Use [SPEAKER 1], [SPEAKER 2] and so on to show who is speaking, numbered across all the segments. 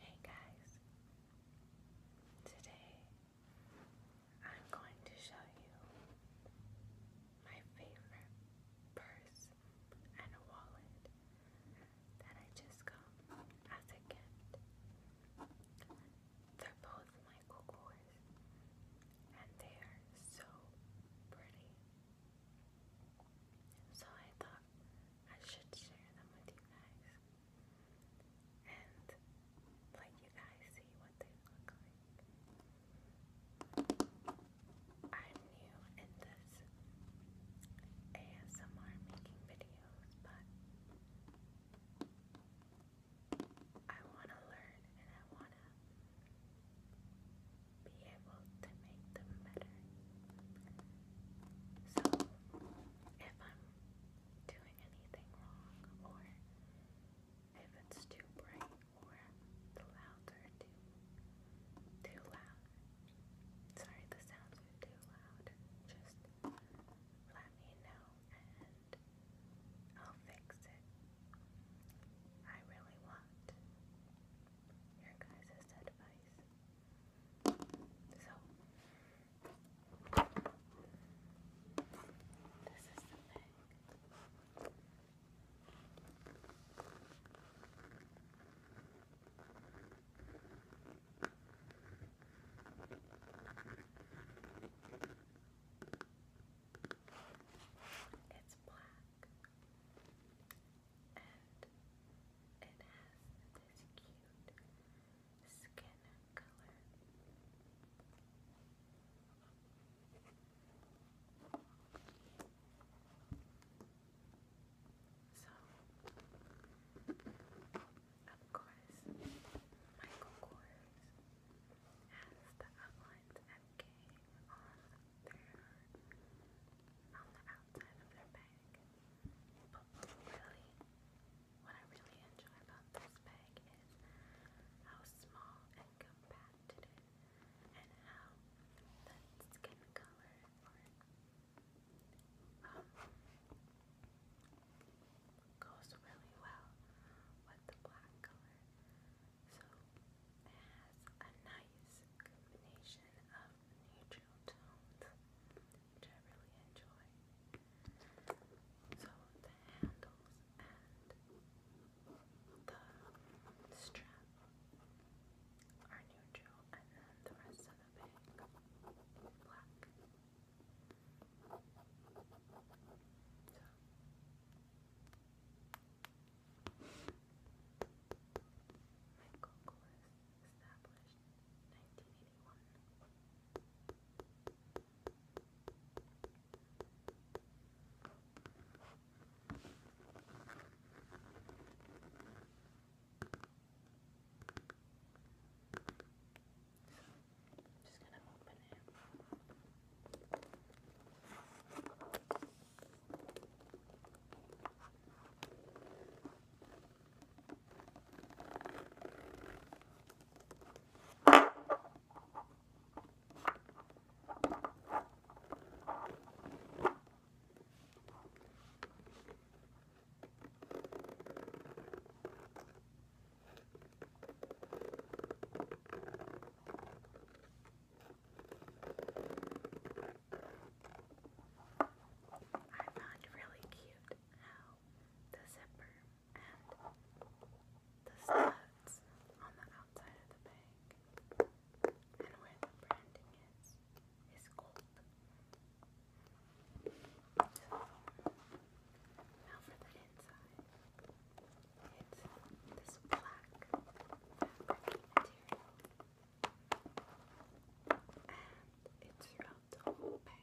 [SPEAKER 1] Hey guys, today I'm going to show you my favorite purse and wallet that I just got as a gift. They're both Michael Kors and they are so pretty. So I thought I should share them with you guys and let you guys see what they look like. I'm new in this ASMR making videos, but I want to learn and I want to be able to make them better. So, if I'm doing anything wrong, or if it's too bright, or the louds too, too loud, sorry, the sounds are too loud, just let me know and I'll fix it. I really want your guys' advice. So, this is the bag. It's black and it has this cute skin color. So, of course, Michael Kors as the outlines MK on their on the outside of their bag. But really, what I really enjoy about this bag is how small and compact it is, and how the skin color or um, goes really well with the black color. So it has a nice combination of neutral tones, which I really enjoy. So the handles and the strap are neutral, and then the rest of the bag black. Google was established in 1981. Thank you. I'm just gonna open it.
[SPEAKER 2] I found really cute how the zipper and the studs on the outside of the bag and where the branding is is gold. Now for the inside. It's this black fabric material. And it's throughout the bag.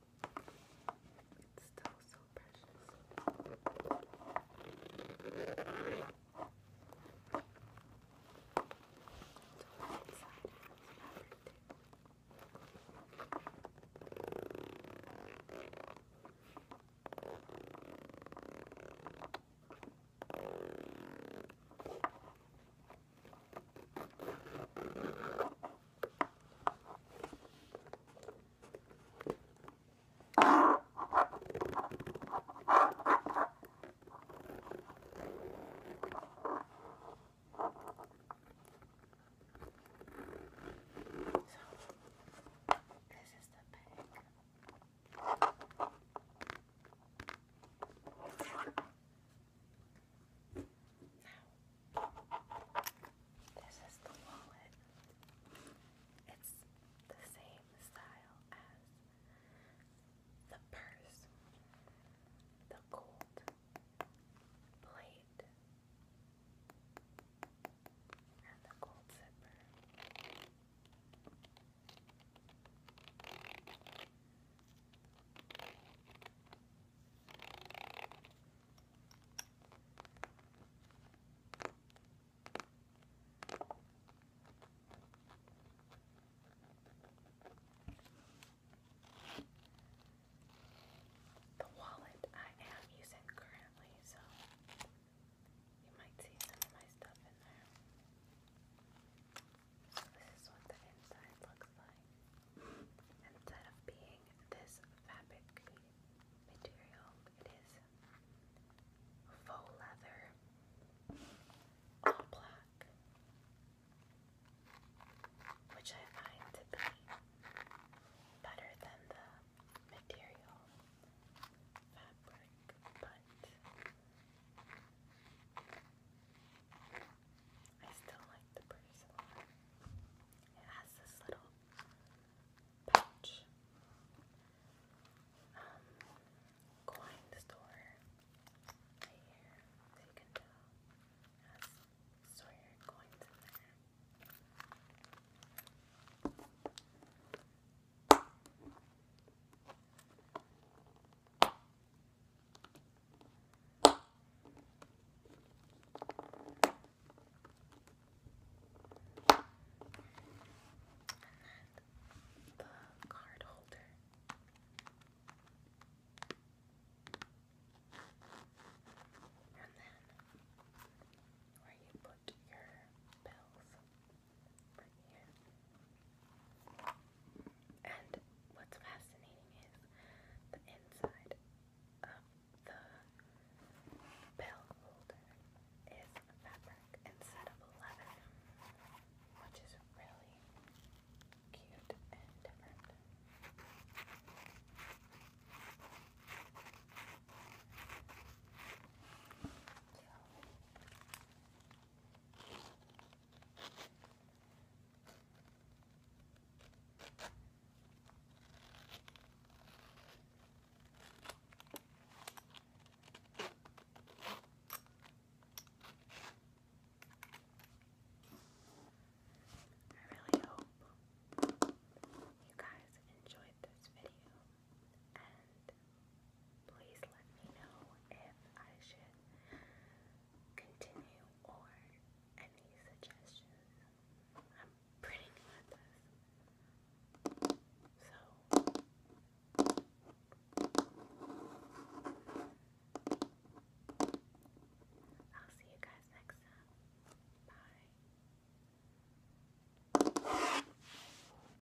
[SPEAKER 2] It's still so precious. So inside has fabric too.
[SPEAKER 1] It's this is the bag. Now, this is the wallet. It's the same style as the purse, the gold plate, and the gold zipper. The wallet I am using currently, so you might see some of my stuff in there. So, this is what the inside looks like. Instead of being this fabric material, it is faux leather, all black, which I find to be better than the material fabric, I still like the bracelet. It has this little pouch. Um, coin store right here, so you can tell. It has Sawyer coins in and then the card holder. And then where you put your bells right here. And what's fascinating is the inside of the pill is fabric instead of leather, which is really cute and different. I really hope you guys enjoyed this video please let me know if I should continue or any suggestions. I'm pretty new at this. So I'll see you guys next time. Bye.